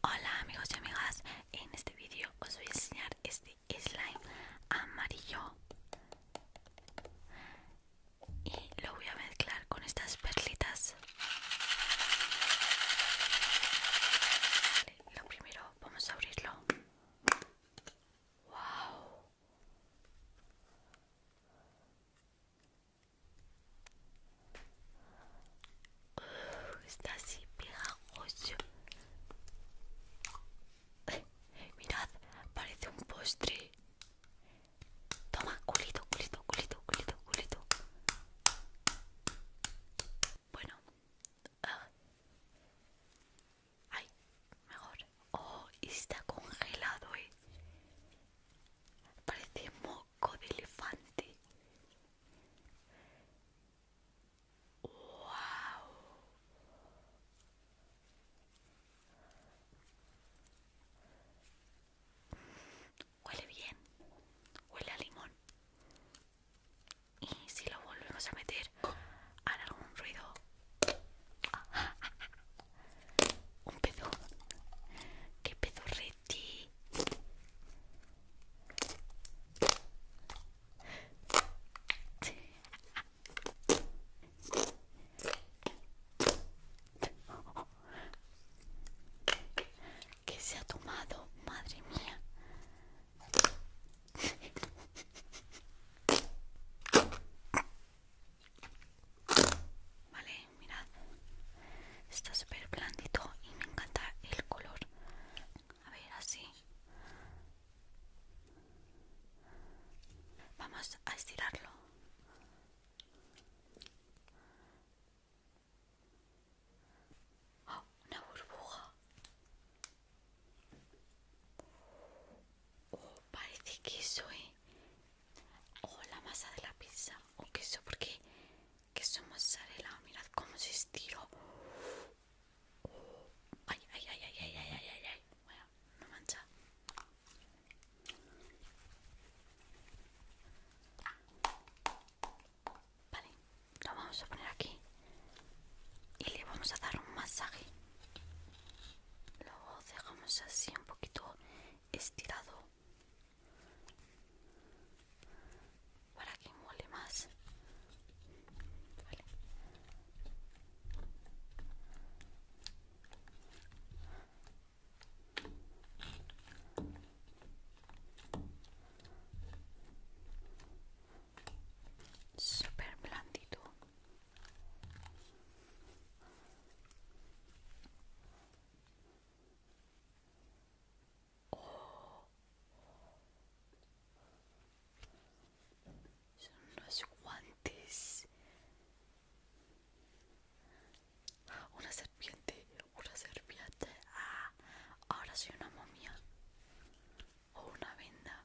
Hola amigos y amigas, en este vídeo os voy a enseñar este slime amarillo y lo voy a mezclar con estas perlitas. lo primero vamos a abrirlo. ¡Wow! está así pegajoso. mirad, parece un postre. Toma, culito, culito, culito, culito, culito. Bueno. Ah. Ay, mejor. Oh, está congelado, eh. Parece mo elefante. ¡Wow! Huele bien, huele a limón. Y si lo volvemos a meter, hará algún ruido. Un pedo. ¿Qué pedo que se ha tomado, madre mía. Vale, mirad. Está súper blandito y me encanta el color. A ver, así. Vamos a estirarlo. Oh, una burbuja. Oh, parece que soy o la masa de la pizza o queso porque queso mozzarella mirad cómo se estiró ay ay ay ay ay ay ay ay no mancha vale lo vamos a poner aquí y le vamos a dar un masaje lo dejamos así un poquito estirado para que mole más super Súper blandito, son unos guantes. Una serpiente, una serpiente. Ah, ahora soy una momia. O una venda.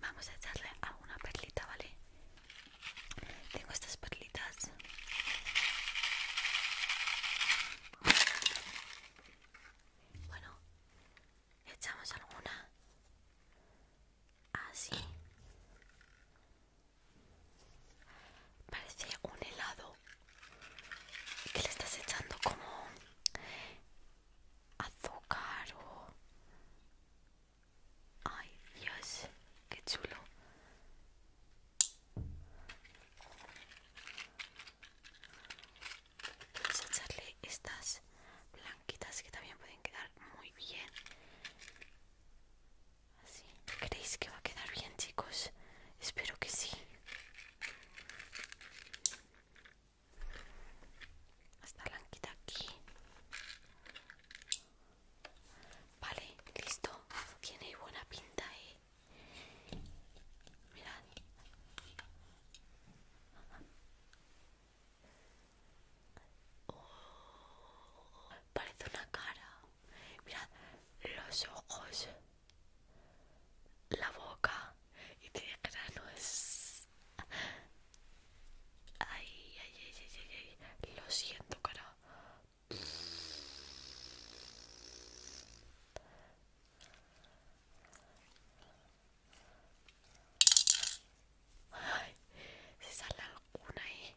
Vamos a echarle alguna perlita, ¿vale? Tengo estas perlitas. Bueno, echamos alguna así. Parece un helado que le estás echando como azúcar o Ay, Dios, qué chulo. Vamos a echarle estas blanquitas que también pueden quedar muy bien. Así. ¿Creéis que va a quedar bien, chicos? Espero que sí. Esta blanquita aquí. Vale, listo. Tiene buena pinta, eh. Mirad. Oh, parece una cara. Mirad los ojos, la boca, y tiene granos. Ay, ay, ay, ay, ay, ay. Lo siento, cara. Ay, se sale alguna ahí. Eh.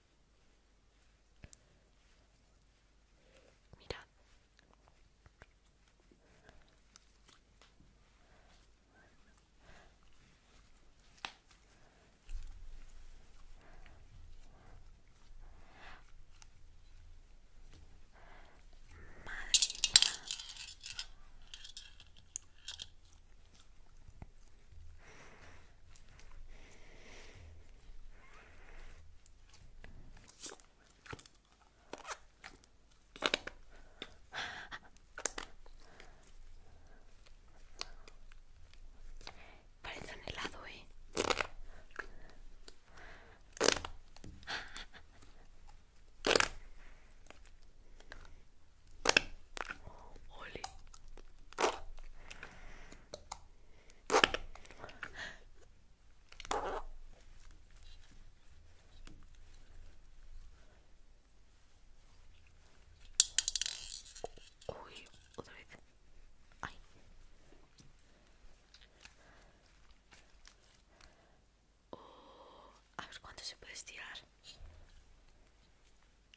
Mirad. Madre mía. Parece un helado, eh. Uy, otra vez. Ay. Oh, a ver cuánto se puede estirar.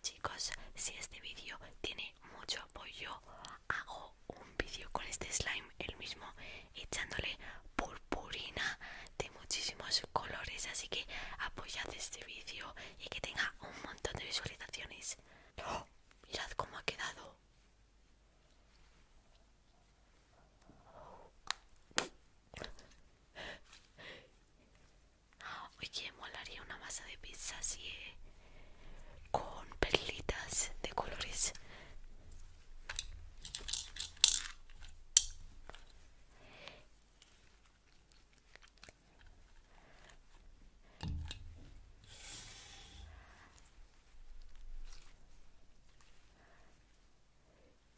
Chicos, si este vídeo tiene mucho apoyo, hago un vídeo con este slime, el mismo, echándole purpurina de muchísimos colores. Así que apoyad este vídeo y que tenga un montón de visualizaciones. ¡Oh! Mirad cómo ha quedado. Oye, molaría una masa de pizza así eh, con perlitas de colores.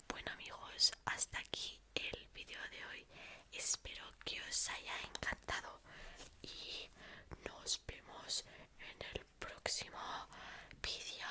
Bueno amigos, hasta aquí el vídeo de hoy. Espero que os haya encantado y nos vemos en el próximo video